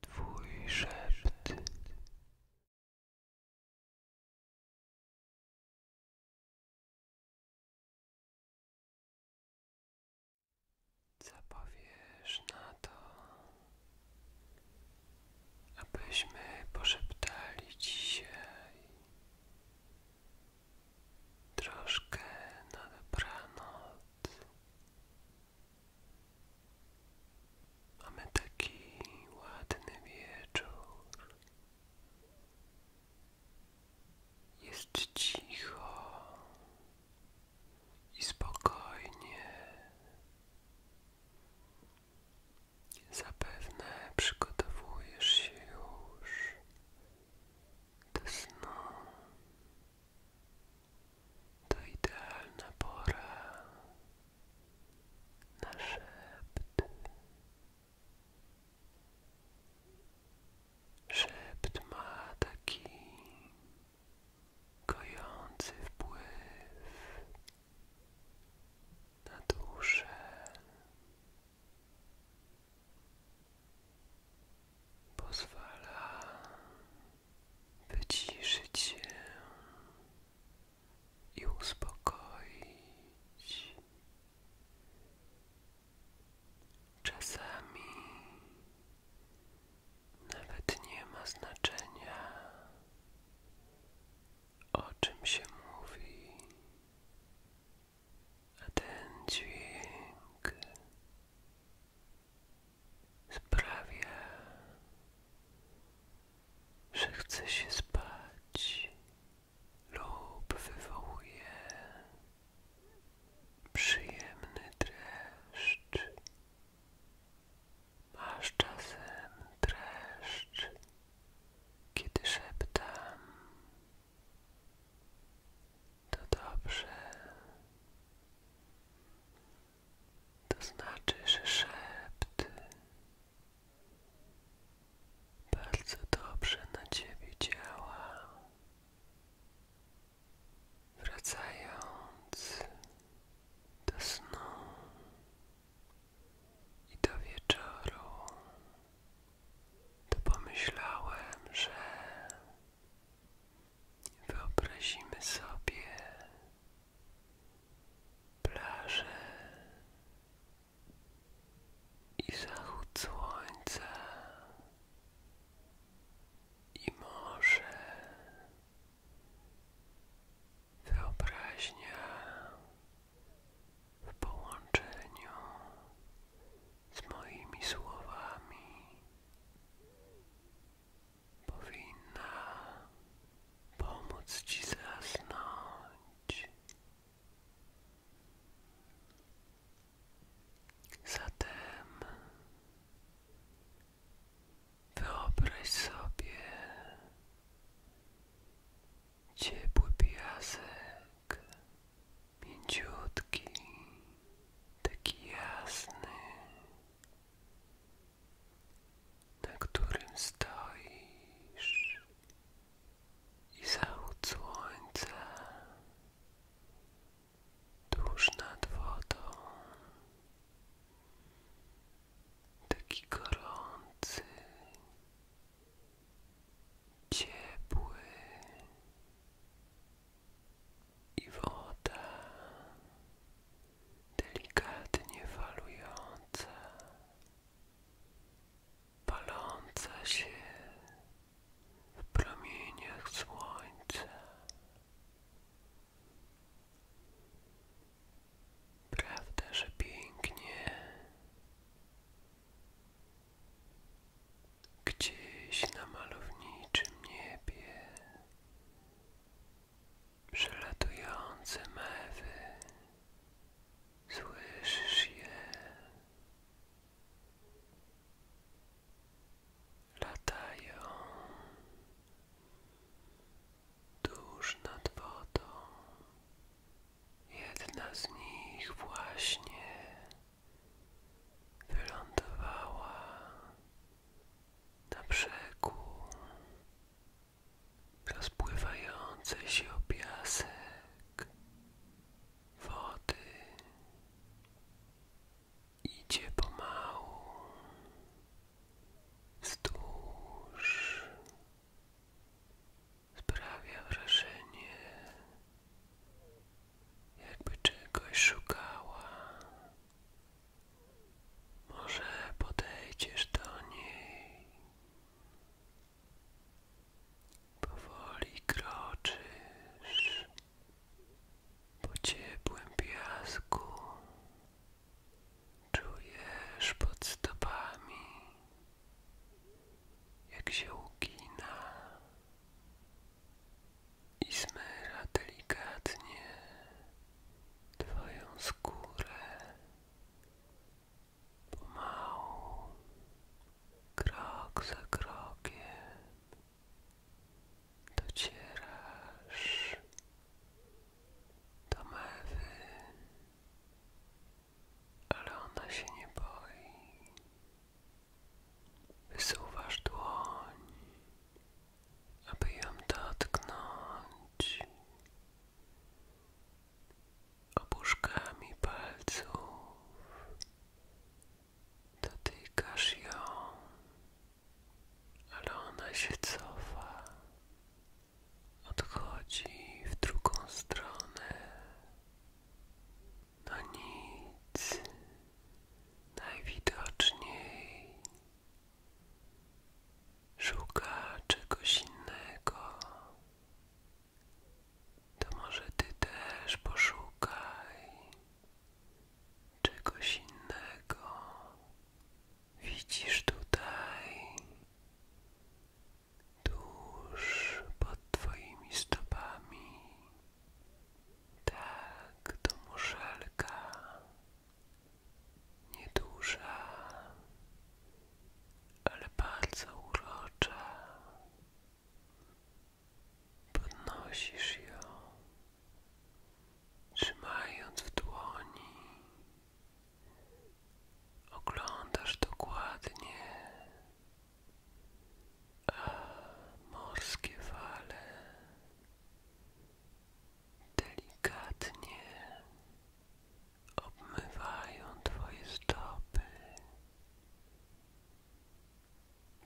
Twój szept. powiesz na to, abyśmy poszeptali dzisiaj troszkę na dobranoc? Mamy taki ładny wieczór. Jest cicho i spokojnie. Zapewne przygotowujesz się już do snu. To idealna pora na szept. Szept ma taki kojący wpływ na duszę pozwala wyciszyć się i uspokoić. Czasami nawet nie ma znaczenia, o czym się mówi a ten sprawia, że chce się spać lub wywołuje przyjemny dreszcz. Masz czasem dreszcz, kiedy szeptam to dobrze. To znaczy, że szept bardzo dobrze na ciebie działa. Wracając do snu i do wieczoru to pomyślałem, że wyobrazimy sobie plażę i zachód słońca i morze. Wyobraźnia w połączeniu z moimi słowami powinna pomóc Ci zasnąć. Zatem wyobraź sobie, ciepły piasek, mięciutki, taki jasny, na którym stoisz i zachód słońca tuż nad wodą, taki gorący ciepły i woda delikatnie falująca, paląca się w promieniach słońca. Prawda, że pięknie gdzieś na malowniczym niebie przelatujące mewy słyszysz je latają tuż nad wodą. Jedna z nich właśnie wylądowała na brzegu, rozpływające się o piasek wody. Idzie pomału wzdłuż Sprawia wrażenie, jakby czegoś szukała. Może podejdziesz do niej. Powoli kroczysz po ciepłym piasku. Czujesz pod stopami, jak się ugina i zmyra delikatnie Twoją skórę. Pomału, krok za krokiem docierasz do mewy, ale ona się nie boi. Wysuwasz dłoń, aby ją dotknąć. Opuszkami palców dotykasz ją, ale ona się cofa odchodzi w drugą stronę. No nic, najwidoczniej szuka czegoś innego. To może ty też poszukaj czegoś innego. Widzisz tutaj tuż pod Twoimi stopami. Tak, to muszelka. Nieduża, ale bardzo urocza. Podnosisz ją trzymając w dłoni, oglądasz dokładnie, a morskie fale delikatnie obmywają Twoje stopy.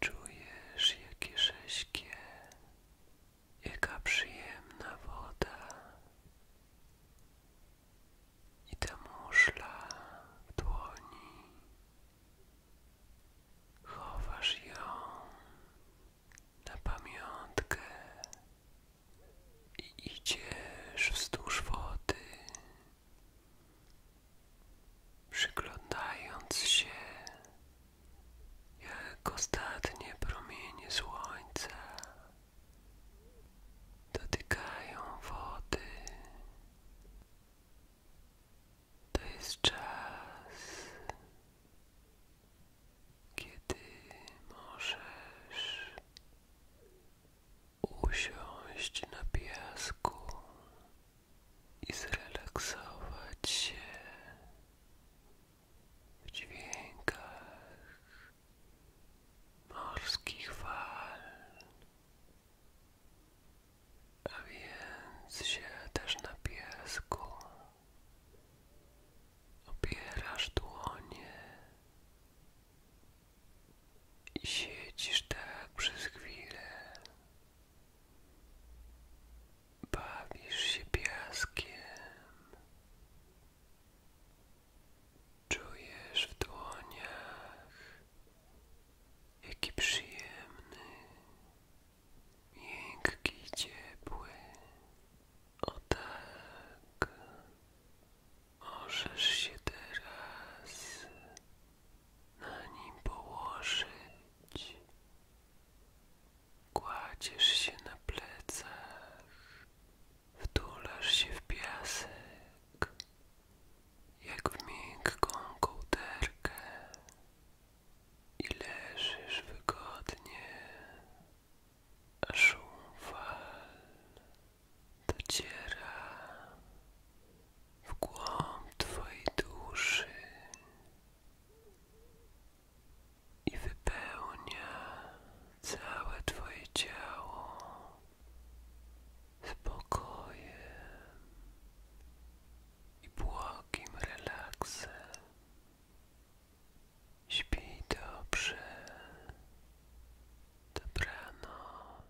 Czujesz, jakie rześkie Jaka przyjemna woda i ta muszla w dłoni. Chowasz ją na pamiątkę i idziesz wzdłuż wody, przyglądając się jak ostatnie promienie słońca dotykają wody. To jest czas, kiedy możesz usiąść na piasku i zrelaksować się w dźwiękach morskich fal, a więc się też na piasku opierasz dłonie i siedzisz tak przez chwilę Bawisz się piaskiem, czujesz w dłoniach, jaki przyjemny, miękki, ciepły. O tak, możesz się teraz na nim położyć. Kładziesz się na plecach, wtulasz się w piasek, jak w miękką kołderkę i leżysz wygodnie, a szum fal dociera w głąb Twojej duszy i wypełnia całe Twoje ciało spokojem i błogim relaksem. Śpij dobrze. Dobranoc.